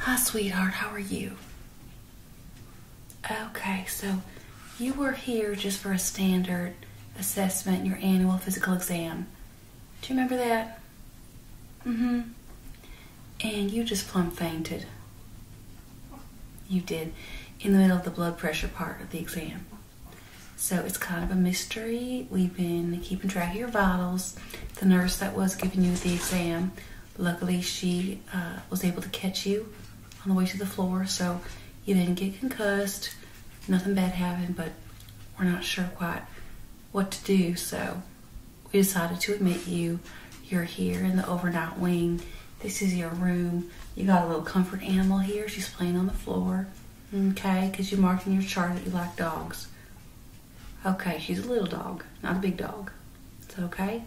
Hi, sweetheart. How are you? Okay, so you were here just for a standard assessment, your annual physical exam. Do you remember that? Mm-hmm. And you just plumb fainted. You did. In the middle of the blood pressure part of the exam. So it's kind of a mystery. We've been keeping track of your vitals. The nurse that was giving you the exam Luckily, she uh, was able to catch you on the way to the floor, so you didn't get concussed. Nothing bad happened, but we're not sure quite what to do, so we decided to admit you. You're here in the overnight wing. This is your room. You got a little comfort animal here. She's playing on the floor. Okay, because you marked in your chart that you like dogs. Okay, she's a little dog, not a big dog. It's okay.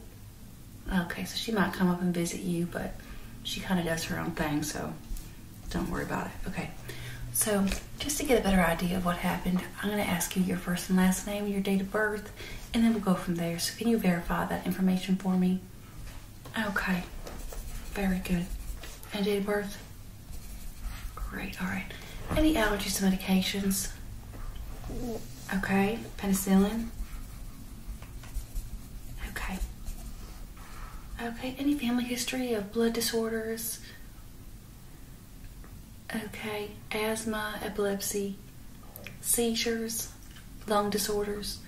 Okay, so she might come up and visit you, but she kind of does her own thing, so don't worry about it. Okay, so just to get a better idea of what happened, I'm going to ask you your first and last name, your date of birth, and then we'll go from there. So can you verify that information for me? Okay, very good. And date of birth? Great, all right. Any allergies to medications? Okay, penicillin. Okay. Okay, any family history of blood disorders? Okay, asthma, epilepsy, seizures, lung disorders,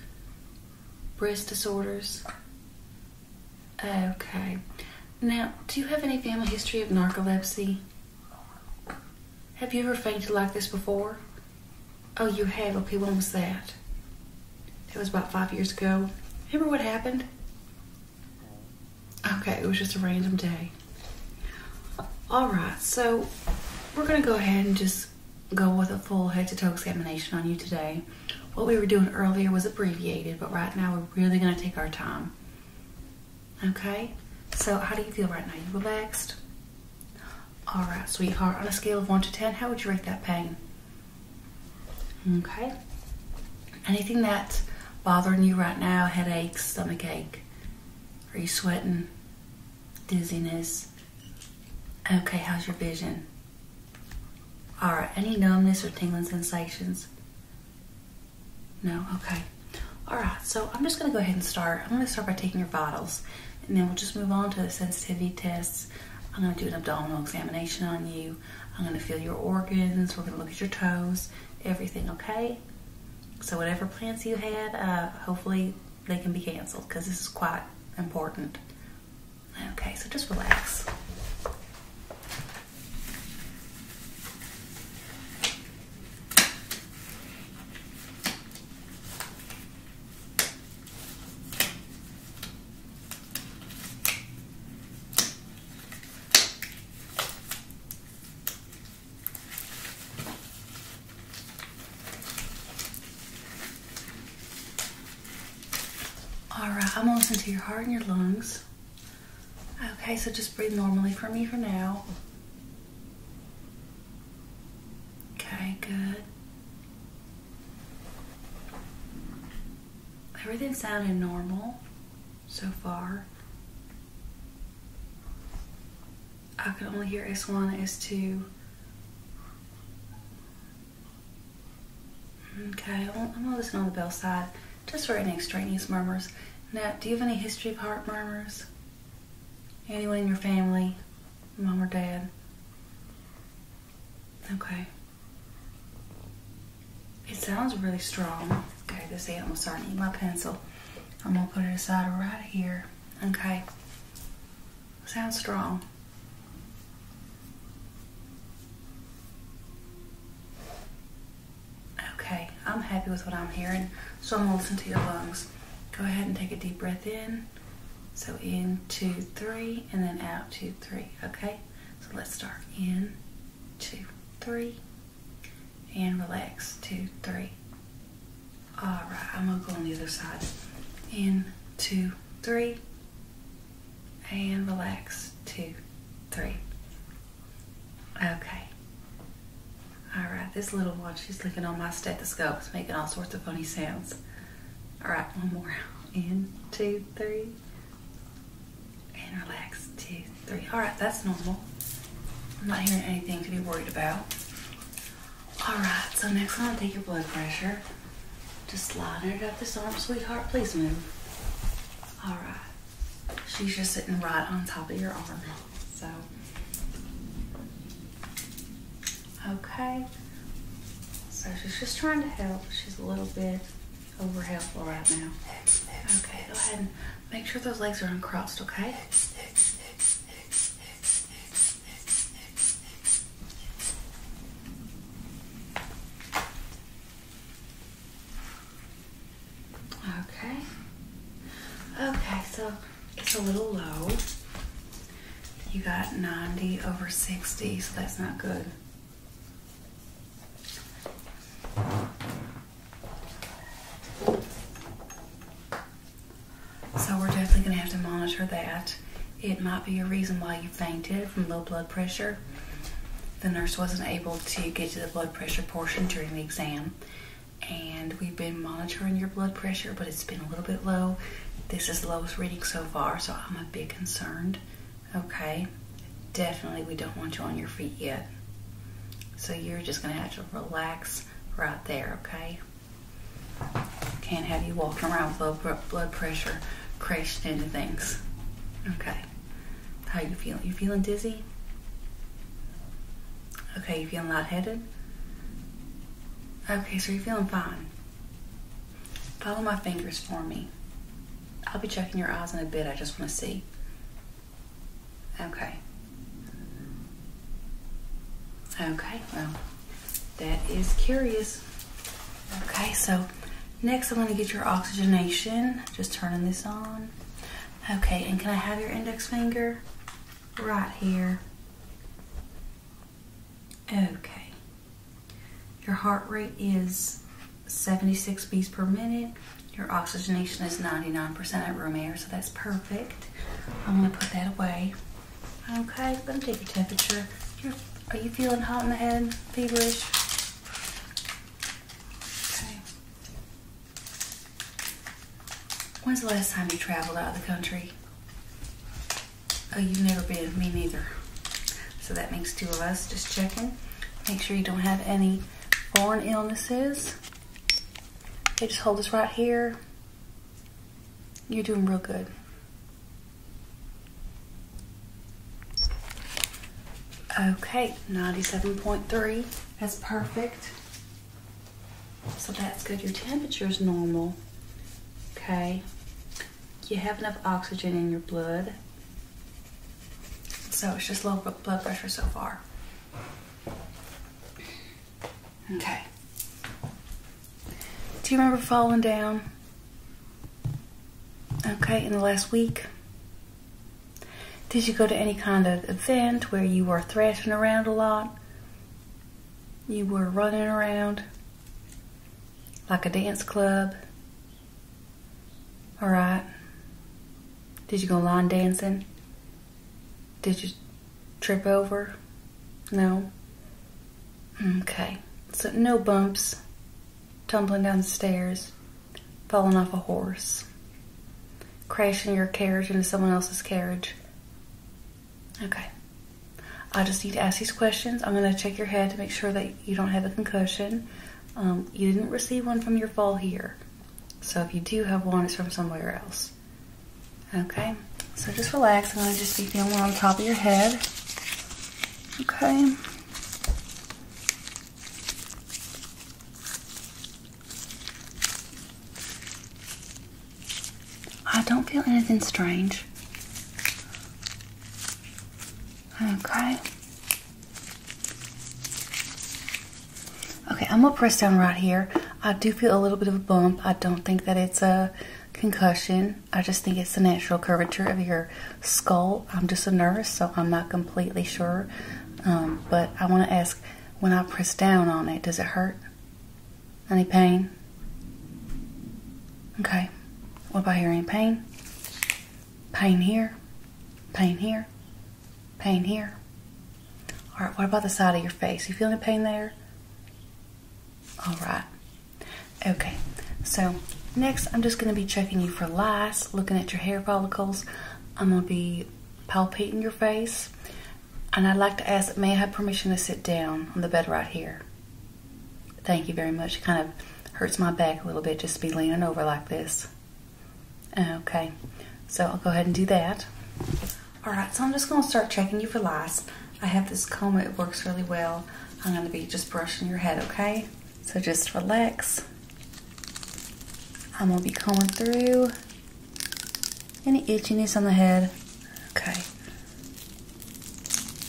breast disorders. Okay. Now, do you have any family history of narcolepsy? Have you ever fainted like this before? Oh, you have. Okay, when was that? That was about five years ago. Remember what happened? Okay, it was just a random day. All right, so we're going to go ahead and just go with a full head to toe examination on you today. What we were doing earlier was abbreviated, but right now we're really going to take our time. Okay? So, how do you feel right now? You relaxed? Alright, sweetheart. On a scale of 1 to 10, how would you rate that pain? Okay? Anything that's bothering you right now Headache, stomach ache? Are you sweating? Dizziness? Okay, how's your vision? Alright, any numbness or tingling sensations? No? Okay. Alright, so I'm just going to go ahead and start. I'm going to start by taking your vitals, and then we'll just move on to the sensitivity tests. I'm going to do an abdominal examination on you. I'm going to feel your organs. We're going to look at your toes, everything, okay? So whatever plans you had, uh, hopefully they can be canceled because this is quite important. Okay, so just relax. All right, I'm listening to your heart and your lungs. Okay, so just breathe normally for me for now. Okay, good. Everything sounded normal so far. I can only hear S1, S2. Okay, I'm gonna on the bell side just for any extraneous murmurs. Now, do you have any history of heart murmurs? Anyone in your family? Mom or dad? Okay. It sounds really strong. Okay, this ant was starting to eat my pencil. I'm gonna put it aside right here. Okay. Sounds strong. Okay, I'm happy with what I'm hearing, so I'm gonna listen to your lungs. Go ahead and take a deep breath in. So in, two, three, and then out, two, three, okay? So let's start in, two, three, and relax, two, three. All right, I'm gonna go on the other side. In, two, three, and relax, two, three. Okay. All right, this little one, she's looking on my stethoscope. It's making all sorts of funny sounds. All right, one more. In, two, three. And relax. Two, three. All right, that's normal. I'm not hearing anything to be worried about. All right, so next one, I'll take your blood pressure. Just slide it up this arm, sweetheart. Please move. All right. She's just sitting right on top of your arm. So, okay. So she's just trying to help. She's a little bit over helpful right now. Okay, go ahead and make sure those legs are uncrossed, okay? Okay. Okay, so it's a little low. You got 90 over 60, so that's not good. So we're definitely going to have to monitor that. It might be a reason why you fainted from low blood pressure. The nurse wasn't able to get to the blood pressure portion during the exam and we've been monitoring your blood pressure, but it's been a little bit low. This is the lowest reading so far, so I'm a bit concerned. Okay, definitely we don't want you on your feet yet. So you're just gonna have to relax right there, okay? Can't have you walking around with low blood pressure, crashing into things. Okay. How you feeling? You feeling dizzy? Okay, you feeling lightheaded? Okay, so you're feeling fine. Follow my fingers for me. I'll be checking your eyes in a bit. I just want to see. Okay. Okay, well, that is curious. Okay, so next I'm going to get your oxygenation. Just turning this on. Okay, and can I have your index finger? Right here. Okay. Your heart rate is 76 beats per minute. Your oxygenation is 99% at room air, so that's perfect. I'm gonna put that away. Okay, let me take your temperature. are are you feeling hot in the head, feverish? Okay. When's the last time you traveled out of the country? Oh, you've never been. Me neither. So that makes two of us. Just checking. Make sure you don't have any born illnesses. Okay, just hold this right here. You're doing real good. Okay, 97.3. That's perfect. So that's good. Your temperature is normal. Okay. You have enough oxygen in your blood. So it's just low blood pressure so far. Okay. Do you remember falling down? Okay, in the last week? Did you go to any kind of event where you were thrashing around a lot? You were running around like a dance club? All right. Did you go line dancing? Did you trip over? No. Okay. So no bumps, tumbling down stairs, falling off a horse, crashing your carriage into someone else's carriage. Okay. I just need to ask these questions. I'm going to check your head to make sure that you don't have a concussion. Um, you didn't receive one from your fall here. So if you do have one, it's from somewhere else. Okay. So just relax. I'm going to just be feeling on top of your head. Okay. I don't feel anything strange. Okay. Okay, I'm gonna press down right here. I do feel a little bit of a bump. I don't think that it's a concussion. I just think it's the natural curvature of your skull. I'm just a nurse, so I'm not completely sure. Um, but I want to ask when I press down on it, does it hurt? Any pain? Okay. What about here? Any pain? Pain here? Pain here? Pain here? All right, what about the side of your face? You feel any pain there? All right. Okay, so next I'm just going to be checking you for lice, looking at your hair follicles. I'm going to be palpating your face. And I'd like to ask, may I have permission to sit down on the bed right here? Thank you very much. It kind of hurts my back a little bit just to be leaning over like this. Okay, so I'll go ahead and do that. All right, so I'm just gonna start checking you for lice. I have this comb, it works really well. I'm gonna be just brushing your head, okay? So just relax. I'm gonna be combing through any itchiness on the head. Okay.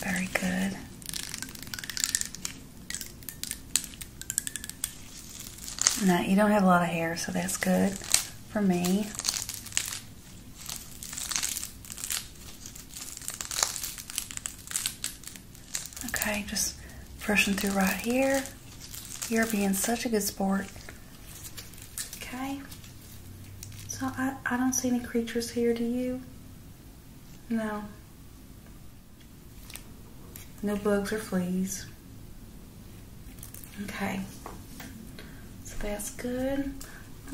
Very good. Now, you don't have a lot of hair, so that's good for me. Okay, just brushing through right here. You're being such a good sport. Okay. So I, I don't see any creatures here, do you? No. No bugs or fleas. Okay. So that's good.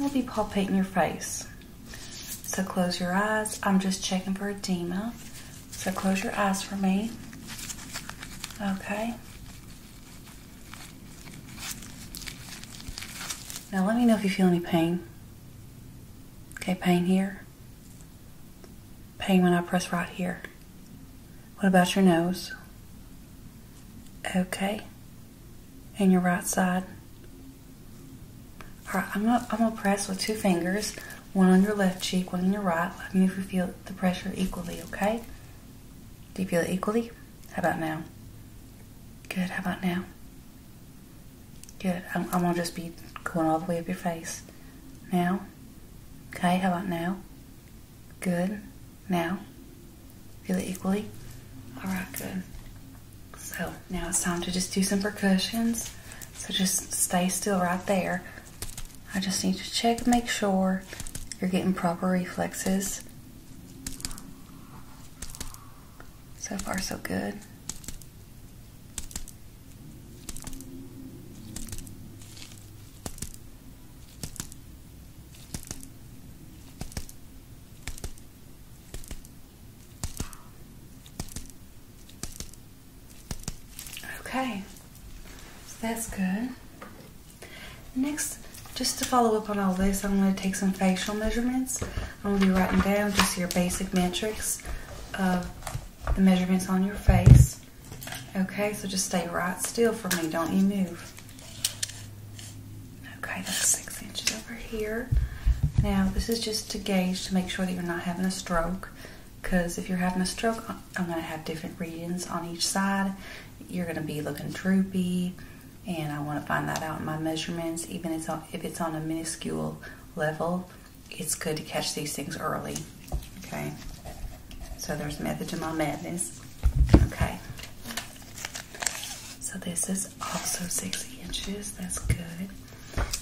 I'll be palpating your face. So close your eyes. I'm just checking for a edema. So close your eyes for me. Okay. Now let me know if you feel any pain. Okay, pain here. Pain when I press right here. What about your nose? Okay. And your right side. All right, I'm gonna, I'm gonna press with two fingers one on your left cheek, one on your right. Let me you feel the pressure equally, okay? Do you feel it equally? How about now? Good, how about now? Good, I'm, I'm gonna just be going all the way up your face. Now? Okay, how about now? Good, now? Feel it equally? Alright, good. So now it's time to just do some percussions. So just stay still right there. I just need to check make sure you're getting proper reflexes. So far, so good. Okay, so that's good. Next, just to follow up on all this, I'm going to take some facial measurements. I'm going to be writing down just your basic metrics of the measurements on your face. Okay, so just stay right still for me. Don't you move. Okay, that's six inches over here. Now, this is just to gauge to make sure that you're not having a stroke because if you're having a stroke, I'm going to have different readings on each side. You're going to be looking droopy, and I want to find that out in my measurements. Even if it's on a minuscule level, it's good to catch these things early. Okay, so there's method to my madness. Okay, so this is also six inches. That's good.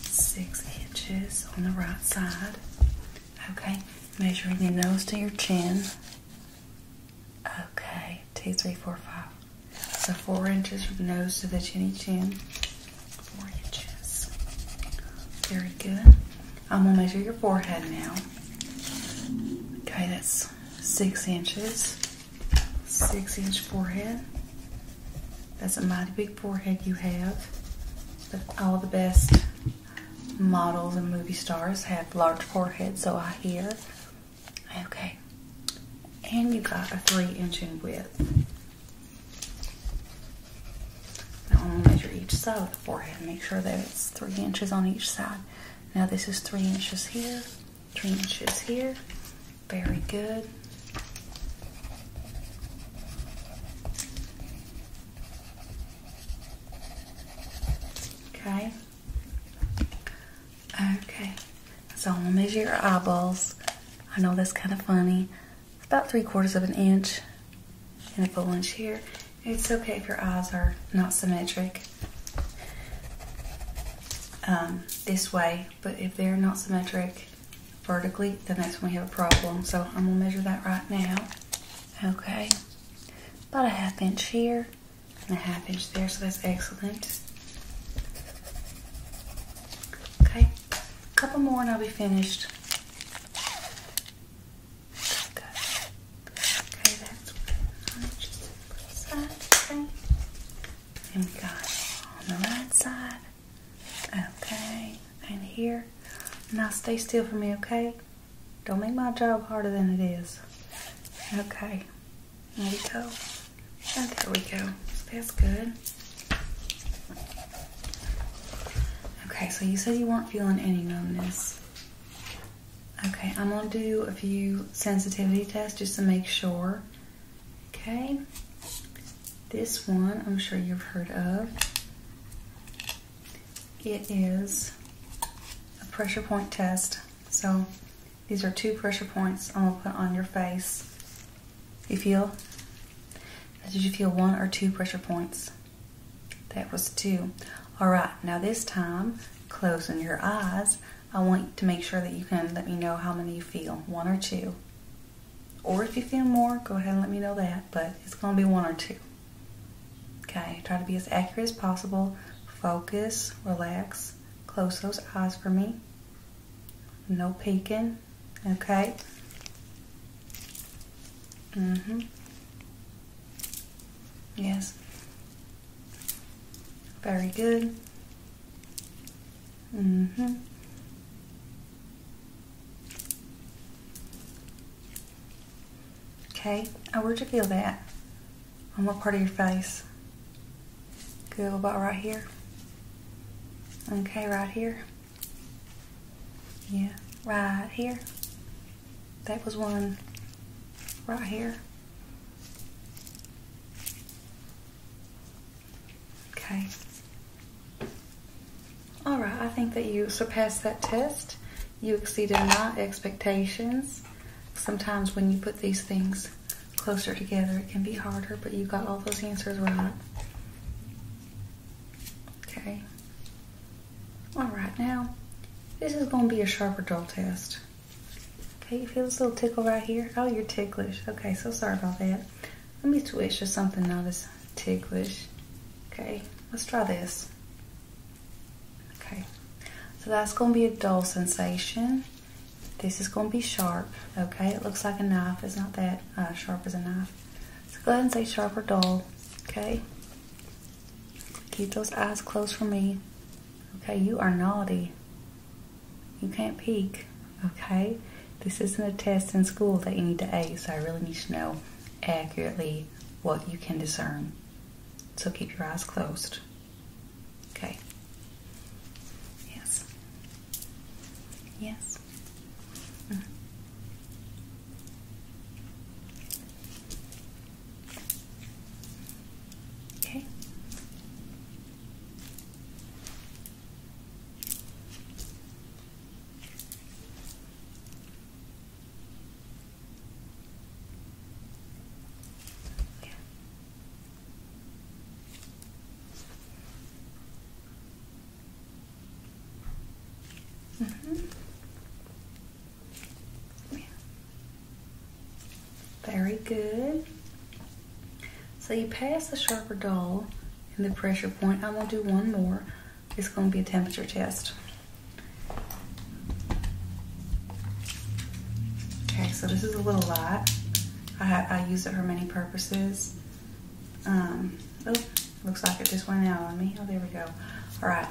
Six inches on the right side. Okay, measuring your nose to your chin. Okay, two, three, four, five. So four inches from the nose to the chinny chin. Four inches. Very good. I'm gonna measure your forehead now. Okay, that's six inches. Six inch forehead. That's a mighty big forehead you have. But all the best models and movie stars have large foreheads, so I hear. Okay. And you got a three inch in width. Now I'm gonna measure each side of the forehead. and Make sure that it's three inches on each side. Now this is three inches here, three inches here. Very good. Okay. Okay. So I'm gonna measure your eyeballs. I know that's kind of funny. It's about three quarters of an inch and a full inch here. It's okay if your eyes are not symmetric um, this way, but if they're not symmetric vertically, then that's when we have a problem. So I'm gonna measure that right now. Okay, about a half inch here and a half inch there, so that's excellent. Okay, a couple more and I'll be finished. Okay, that's Okay. on the right side. Okay and here. Now stay still for me, okay? Don't make my job harder than it is. Okay. There we go. Oh, there we go. That's good. Okay, so you said you weren't feeling any numbness. Okay, I'm going to do a few sensitivity tests just to make sure. Okay. This one I'm sure you've heard of. It is a pressure point test. So these are two pressure points I'm gonna put on your face. You feel? Did you feel one or two pressure points? That was two. All right, now this time, closing your eyes, I want to make sure that you can let me know how many you feel, one or two. Or if you feel more, go ahead and let me know that, but it's gonna be one or two. Okay, try to be as accurate as possible. Focus, relax, close those eyes for me. No peeking, okay? Mm-hmm. Yes. Very good. Mm-hmm. Okay, where'd you feel that? On what part of your face? Good, about right here? Okay, right here. Yeah, right here. That was one right here. Okay, all right, I think that you surpassed that test. You exceeded my expectations. Sometimes when you put these things closer together, it can be harder, but you got all those answers right. Okay. All right, now, this is going to be a sharper dull test. Okay, you feel this little tickle right here? Oh, you're ticklish. Okay, so sorry about that. Let me twist or something not as ticklish. Okay, let's try this. Okay, so that's going to be a dull sensation. This is going to be sharp, okay? It looks like a knife. It's not that uh, sharp as a knife. So go ahead and say sharp or dull, okay? Keep those eyes closed for me. Okay, you are naughty. You can't peek, okay? This isn't a test in school that you need to ace. So I really need to know accurately what you can discern. So keep your eyes closed. Okay. Yes. Yes. Mm-hmm. Okay. Mm-hmm. Yeah. mm Very good. So you pass the sharper doll in the pressure point. I'm gonna do one more. It's going to be a temperature test. Okay, so this is a little light. I, use it for many purposes. Um, oh, looks like it just went out on me. Oh, there we go. All right,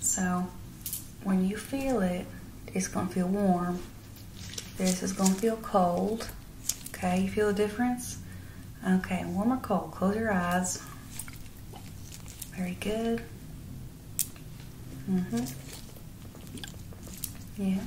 so when you feel it, it's gonna feel warm. This is gonna feel cold. Okay, you feel the difference? Okay, warm or cold, close your eyes. Very good. hmm Yeah. -hmm.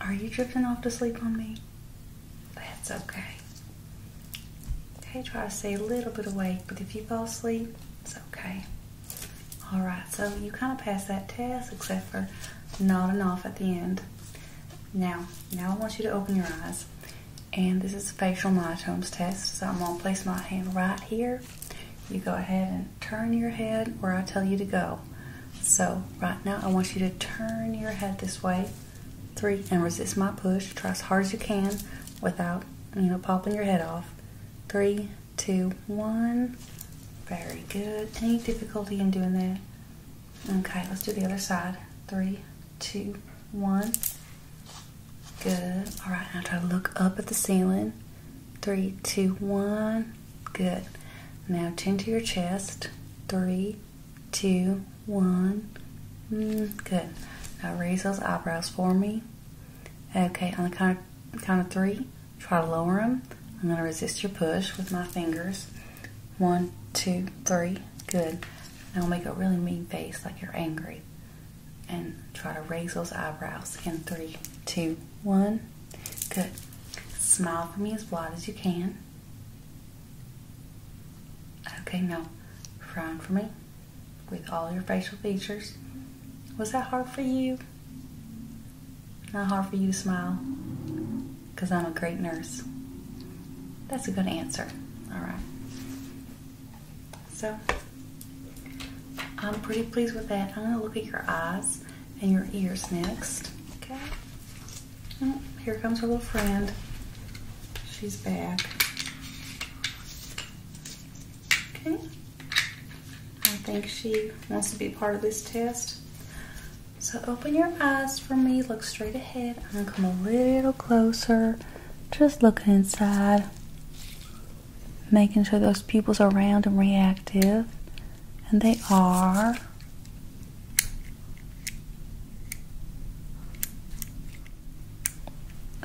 Are you drifting off to sleep on me? That's okay. Okay, try to stay a little bit awake, but if you fall asleep, it's okay. Alright, so you kind of passed that test except for nodding off at the end. Now, now I want you to open your eyes and this is a facial myotomes test, so I'm going to place my hand right here. You go ahead and turn your head where I tell you to go. So right now I want you to turn your head this way, three, and resist my push. Try as hard as you can without, you know, popping your head off. Three, two, one. Very good. Any difficulty in doing that? Okay, let's do the other side. Three, two, one. Good. All right, now try to look up at the ceiling. Three, two, one. Good. Now chin to your chest. Three, two, one. Mm, good. Now raise those eyebrows for me. Okay, on the count of three, try to lower them. I'm going to resist your push with my fingers. One, two, three. Good. And I'll make a really mean face like you're angry. And try to raise those eyebrows in three, two, one. Good. Smile for me as wide as you can. Okay, now frown for me with all your facial features. Was that hard for you? Not hard for you to smile? Because I'm a great nurse. That's a good answer. All right. So I'm pretty pleased with that. I'm gonna look at your eyes and your ears next. Okay. Oh, here comes our little friend. She's back. Okay. I think she wants to be part of this test. So open your eyes for me, look straight ahead. I'm gonna come a little closer. Just looking inside, making sure those pupils are round and reactive, and they are.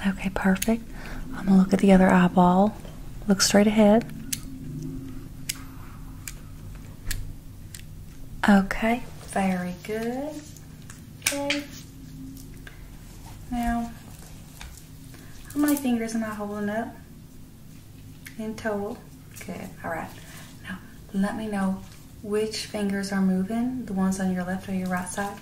Okay, perfect. I'm gonna look at the other eyeball. Look straight ahead. Okay, very good. Okay. Now, how many fingers am I holding up in total? Okay. all right. Now, let me know which fingers are moving, the ones on your left or your right side.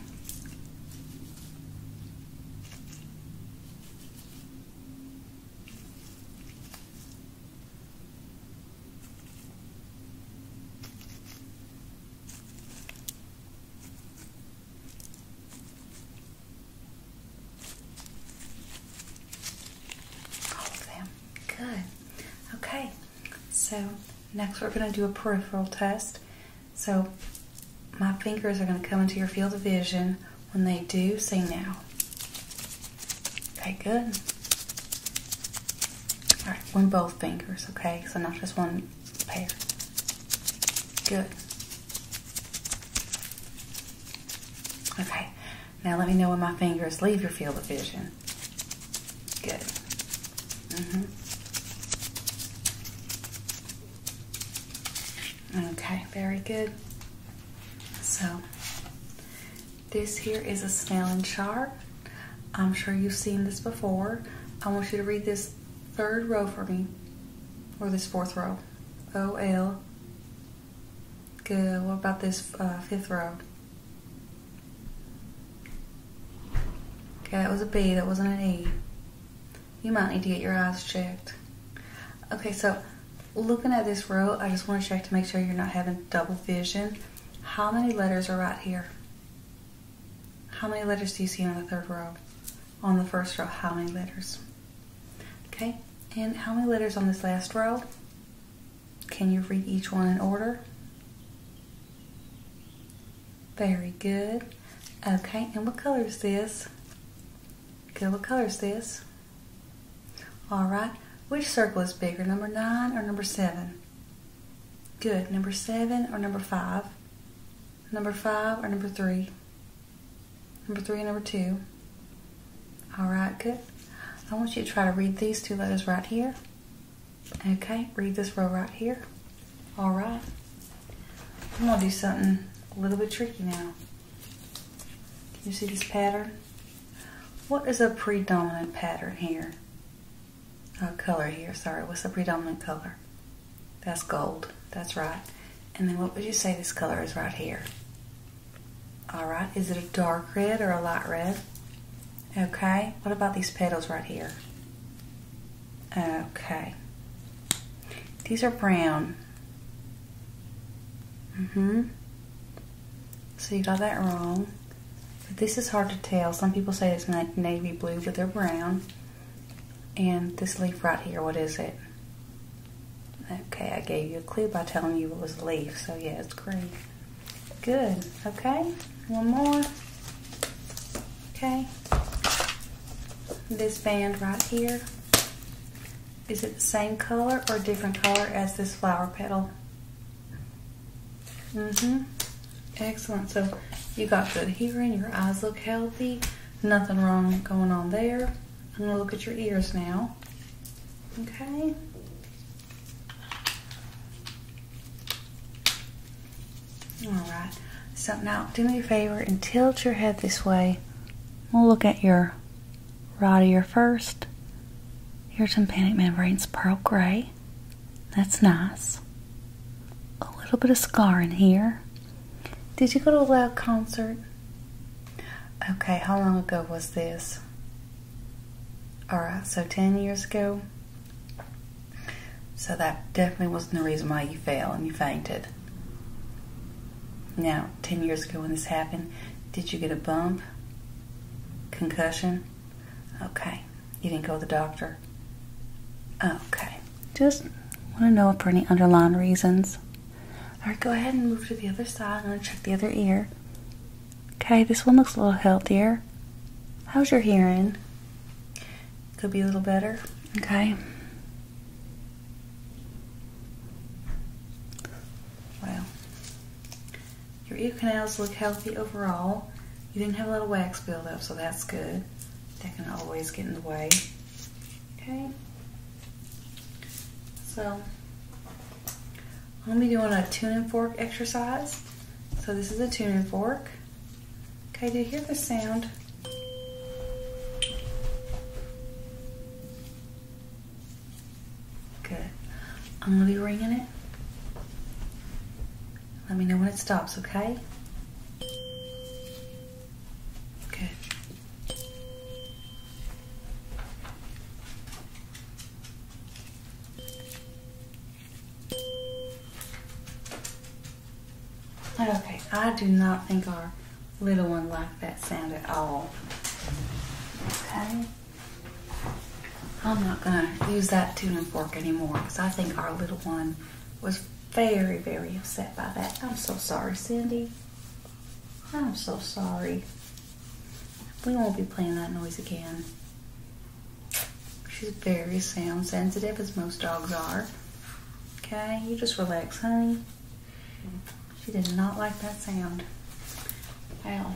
All of them. Good. Okay. So next we're going to do a peripheral test. So my fingers are going to come into your field of vision. When they do, say now. Okay, good. All right, one both fingers, okay? So not just one pair. Good. Okay, now let me know when my fingers leave your field of vision. Good. hmm Okay, very good. So, this here is a snail and char. I'm sure you've seen this before. I want you to read this third row for me, or this fourth row. O L. Good. What about this uh, fifth row? Okay, that was a B. That wasn't an E. You might need to get your eyes checked. Okay, so looking at this row, I just want to check to make sure you're not having double vision. How many letters are right here? How many letters do you see on the third row? On the first row, how many letters? Okay, and how many letters on this last row? Can you read each one in order? Very good. Okay, and what color is this? Good, what color is this? All right, which circle is bigger, number nine or number seven? Good. Number seven or number five? Number five or number three? Number three and number two. All right, good. I want you to try to read these two letters right here. Okay, read this row right here. All right. I'm gonna do something a little bit tricky now. Can you see this pattern? What is a predominant pattern here? uh, color here, sorry, what's the predominant color? That's gold, that's right. And then what would you say this color is right here? All right, is it a dark red or a light red? Okay, what about these petals right here? Okay, these are brown. Mm-hmm. So you got that wrong. But this is hard to tell. Some people say it's navy blue, but they're brown. And this leaf right here, what is it? Okay, I gave you a clue by telling you it was a leaf, so yeah, it's green. Good, okay, one more. Okay, this band right here, is it the same color or different color as this flower petal? hmm Excellent. So you got good hearing. Your eyes look healthy. Nothing wrong going on there. I'm going to look at your ears now. Okay. All right. So now do me a favor and tilt your head this way. We'll look at your right ear first. Your tympanic membrane's pearl gray that's nice. A little bit of scar in here. Did you go to a loud concert? Okay, how long ago was this? Alright, so 10 years ago. So that definitely wasn't the reason why you fell and you fainted. Now, 10 years ago when this happened, did you get a bump? Concussion? Okay. You didn't go to the doctor? Okay. Just want to know if for any underlying reasons. All right, go ahead and move to the other side. I'm going to check the other ear. Okay, this one looks a little healthier. How's your hearing? Could be a little better. Okay. Well, your ear canals look healthy overall. You didn't have a lot of wax buildup, so that's good. That can always get in the way. Okay. So, I'm going to be doing a tuning fork exercise. So this is a tuning fork. Okay, do you hear the sound? Good. I'm going to be ringing it. Let me know when it stops, okay? Good. Okay, I do not think our little one liked that sound at all. Okay? I'm not going to use that tuning fork anymore because I think our little one was very, very upset by that. I'm so sorry, Cindy. I'm so sorry. We won't be playing that noise again. She's very sound sensitive, as most dogs are. Okay, you just relax, honey. She did not like that sound. Well,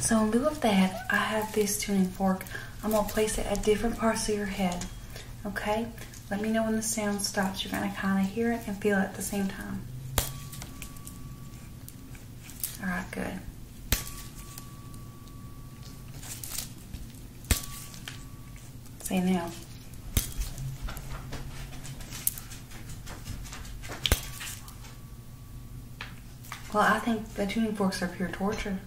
so in lieu of that, I have this tuning fork. I'm gonna place it at different parts of your head, okay? Let me know when the sound stops. You're gonna kinda hear it and feel it at the same time. All right, good. Say now. Well, I think the tuning forks are pure torture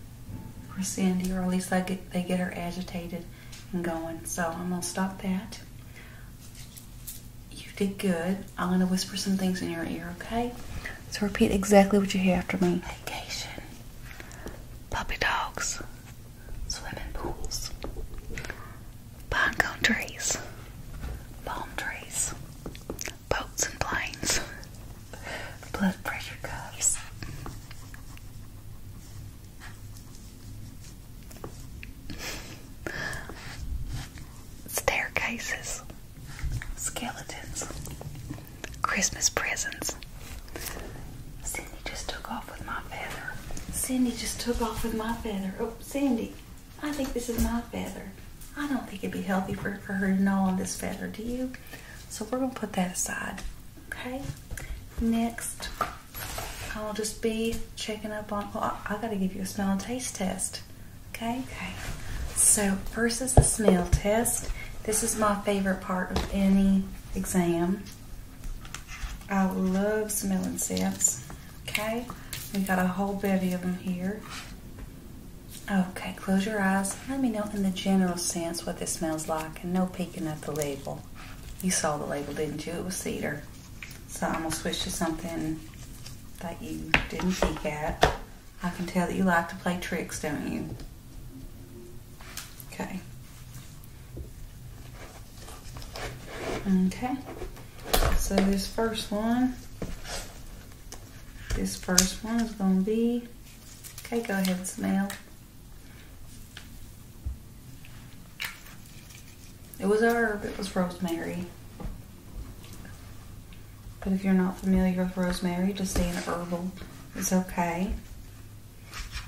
for Sandy, or at least they get, they get her agitated and going. So I'm going to stop that. You did good. I'm going to whisper some things in your ear, okay? So repeat exactly what you hear after me. Vacation. Puppy dogs. Swimming pools. Pine trees. Palm trees boats and planes. Blood pressure cuffs. Staircases. Skeletons. Christmas presents. Cindy just took off with my feather. Cindy just took off with my feather. Oh, Cindy. I think this is my feather. I don't think it'd be healthy for, for her to gnaw on this feather, do you? So we're going to put that aside. Okay. Next, I'll just be checking up on. Well, oh, I, I got to give you a smell and taste test. Okay. Okay. So first is the smell test. This is my favorite part of any exam. I love smelling scents. Okay. We got a whole bevy of them here. Okay, close your eyes. Let me know in the general sense what this smells like and no peeking at the label. You saw the label, didn't you? It was cedar. So I'm going to switch to something that you didn't peek at. I can tell that you like to play tricks, don't you? Okay. Okay. So this first one this first one is going to be, okay, go ahead and smell. It was herb, it was rosemary. But if you're not familiar with rosemary, just saying herbal is okay.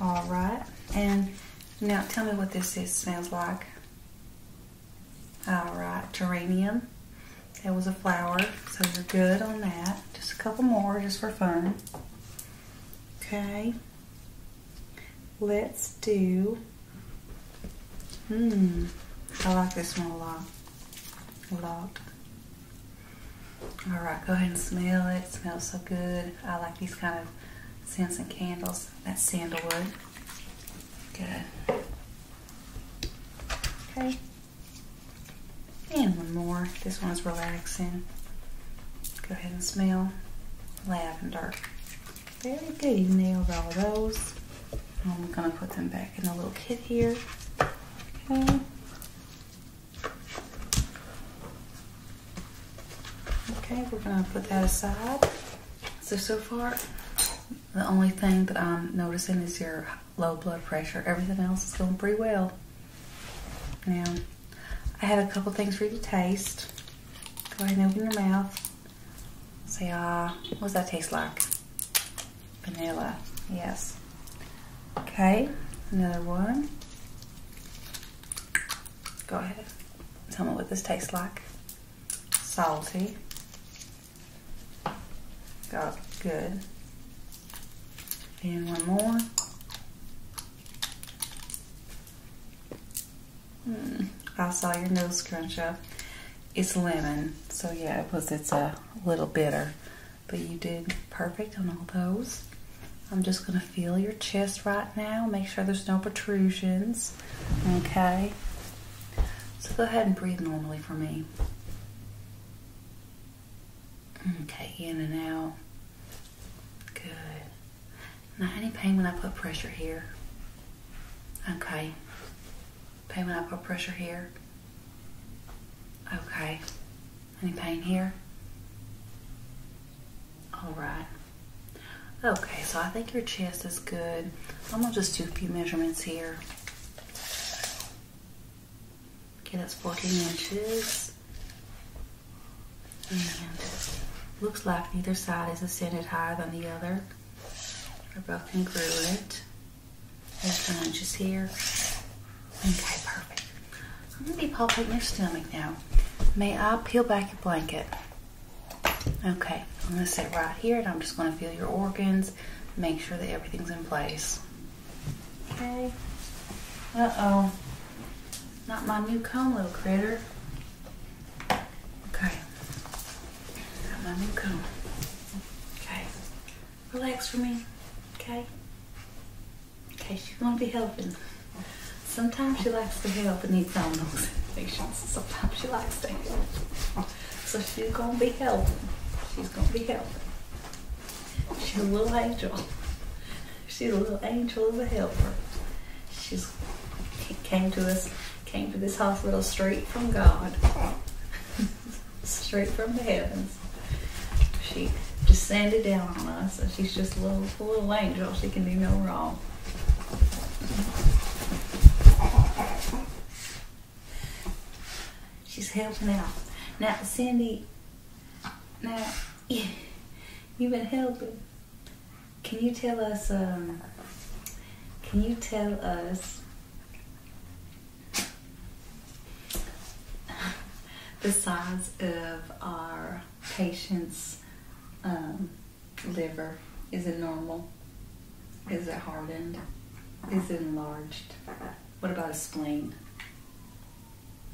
All right, and now tell me what this is, smells like. All right, geranium. That was a flower, so we are good on that. Just a couple more, just for fun. Okay. Let's do, hmm, I like this one a lot, a lot. All right, go ahead and smell it. smells so good. I like these kind of scents and candles. That sandalwood. Good. Okay. And one more. This one's relaxing. Go ahead and smell lavender. Very good. nailed all those. I'm going to put them back in the little kit here. Okay. Okay, we're going to put that aside. So, so far, the only thing that I'm noticing is your low blood pressure. Everything else is going pretty well. Now, I have a couple things for you to taste. Go ahead and open your mouth. Say, ah, uh, what does that taste like? Vanilla, yes. Okay, another one. Go ahead. Tell me what this tastes like. Salty. Got good. And one more. Hmm, I saw your nose scrunch up. It's lemon, so yeah, it was. It's a little bitter, but you did perfect on all those. I'm just gonna feel your chest right now. Make sure there's no protrusions. Okay. So go ahead and breathe normally for me. Okay, in and out. Good. Not any pain when I put pressure here? Okay. Pain when I put pressure here? Okay. Any pain here? All right. Okay, so I think your chest is good. I'm gonna just do a few measurements here. Okay, that's 14 inches. And looks like neither side is ascended higher than the other. They're both congruent. There's 10 inches here. Okay, perfect. I'm gonna be palpating your stomach now. May I peel back your blanket? Okay, I'm gonna sit right here and I'm just gonna feel your organs make sure that everything's in place. Okay. Uh-oh. Not my new comb, little critter. Okay. Not my new comb. Okay. Relax for me. Okay? Okay, she's going to be helping. Sometimes she likes to help needs some help. Sometimes she likes to help. So she's going to be helping. She's going to be helping. She's a little angel. She's a little angel of a helper. She's came to us, came to this hospital straight from God, straight from the heavens. She just sanded down on us, and she's just a little, a little angel. She can do no wrong. She's helping out. Now, Cindy, now, you've been helping. Can you tell us, um, can you tell us the size of our patient's um, liver? Is it normal? Is it hardened? Is it enlarged? What about a spleen?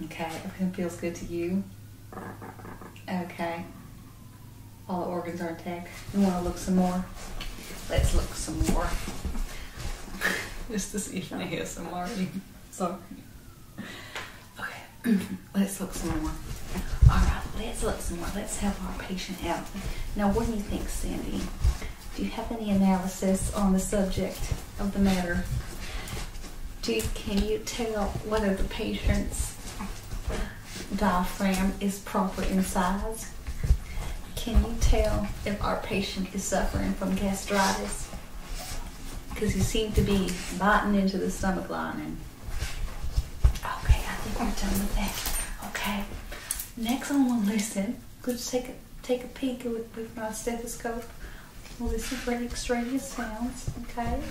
Okay, everything feels good to you? Okay. All the organs are intact. We want to look some more? Let's look some more. Just to see if I hear some more. Sorry. Okay, let's look some more. All right, let's look some more. Let's have our patient out. Now, what do you think, Sandy? Do you have any analysis on the subject of the matter? can you tell whether the patient's diaphragm is proper in size? Can you tell if our patient is suffering from gastritis? Because you seem to be biting into the stomach lining. Okay, I think we're done with that. Okay, next I want to listen could just take a, take a peek with, with my stethoscope. Listen for any extraneous sounds, okay?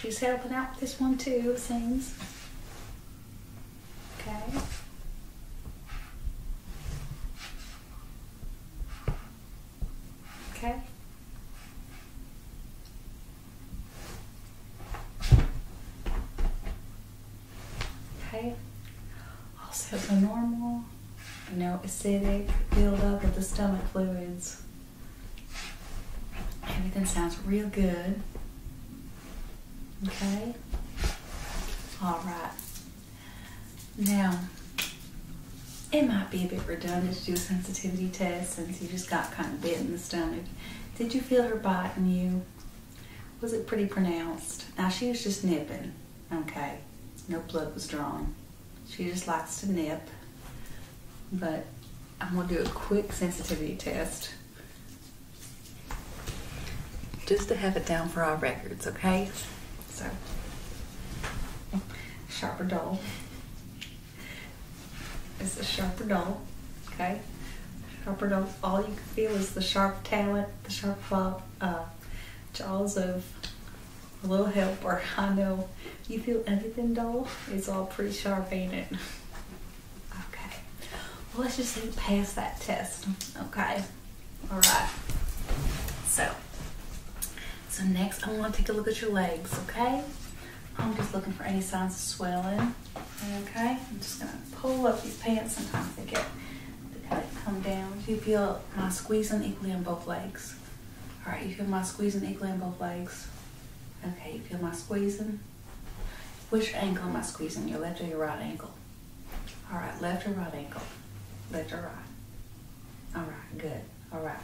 She's helping out with this one too, seems. Okay. Okay. Okay. Also, a normal, no acidic buildup of the stomach fluids. Everything sounds real good. Okay. All right. Now, it might be a bit redundant to do a sensitivity test since you just got kind of bit in the stomach. Did you feel her biting you? was it pretty pronounced? Now she was just nipping, okay. No blood was drawn. She just likes to nip, but I'm gonna do a quick sensitivity test just to have it down for our records, okay? So, sharper doll. It's a sharper doll, okay? Sharper nose. All you can feel is the sharp talent, the sharp uh, jaws of a little help or I know you feel everything dull. It's all pretty sharp, ain't it? Okay. Well, let's just pass that test. Okay. All right. So. So next, I want to take a look at your legs. Okay. I'm just looking for any signs of swelling. Okay, I'm just gonna pull up these pants. Sometimes they get they come down. Do you feel my squeezing equally on both legs? All right, you feel my squeezing equally on both legs? Okay, you feel my squeezing? Which ankle am I squeezing? Your left or your right ankle? All right, left or right ankle? Left or right? All right, good. All right,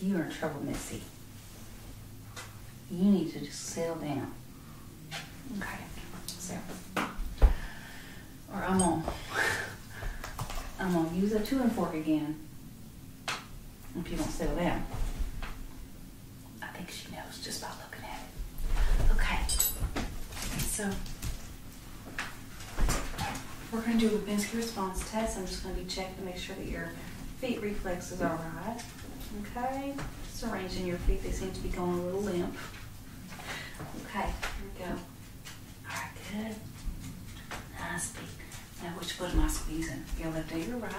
you are in trouble, Missy. You need to just settle down. Okay, so, or I'm gonna, I'm gonna use a two and fork again. If you don't settle down. I think she knows just by looking at it. Okay, so we're gonna do a Babinski response test. I'm just gonna be checking to make sure that your feet reflexes are right. Okay, just arranging your feet. They seem to be going a little limp. Okay, here we go. Alright, good. Nice beat. Now which foot am I squeezing? Your left or your right?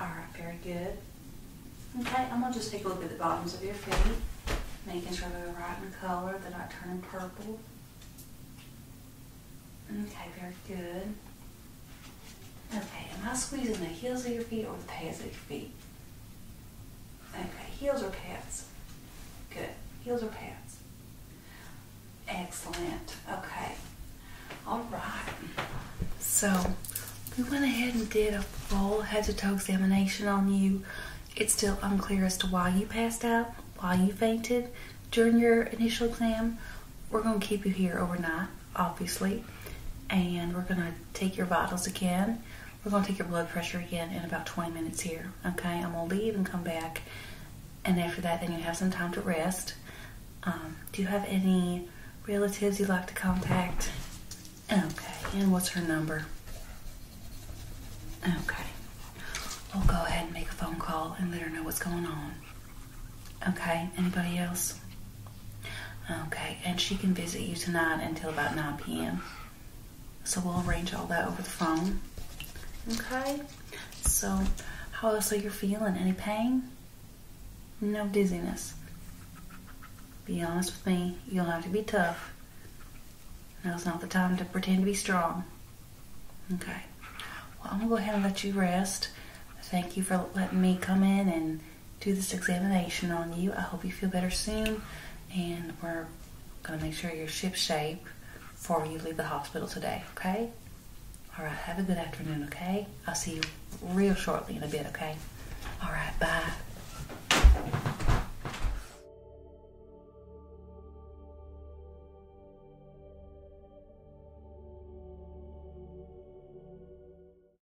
Alright, very good. Okay, I'm gonna just take a look at the bottoms of your feet, making sure they're right in color, they're not turning purple. Okay, very good. Okay, am I squeezing the heels of your feet or the pads of your feet? Okay, heels or pads? Good. Heels or pads? Excellent. Okay. All right. So we went ahead and did a full head to toe examination on you. It's still unclear as to why you passed out, why you fainted during your initial exam. We're going to keep you here overnight obviously. And we're going to take your vitals again. We're going to take your blood pressure again in about 20 minutes here. Okay, I'm going to leave and come back. And after that, then you have some time to rest. Um, do you have any relatives you'd like to contact? Okay, and what's her number? Okay. We'll go ahead and make a phone call and let her know what's going on. Okay, anybody else? Okay, and she can visit you tonight until about 9 p.m. So we'll arrange all that over the phone. Okay, so how else are you feeling? Any pain? No dizziness. Be honest with me, you'll have to be tough. Now's not the time to pretend to be strong. Okay, well, I'm gonna go ahead and let you rest. Thank you for letting me come in and do this examination on you. I hope you feel better soon, and we're going to make sure you're shipshape before you leave the hospital today, okay? All right, have a good afternoon, okay? I'll see you real shortly in a bit, okay? All right, bye.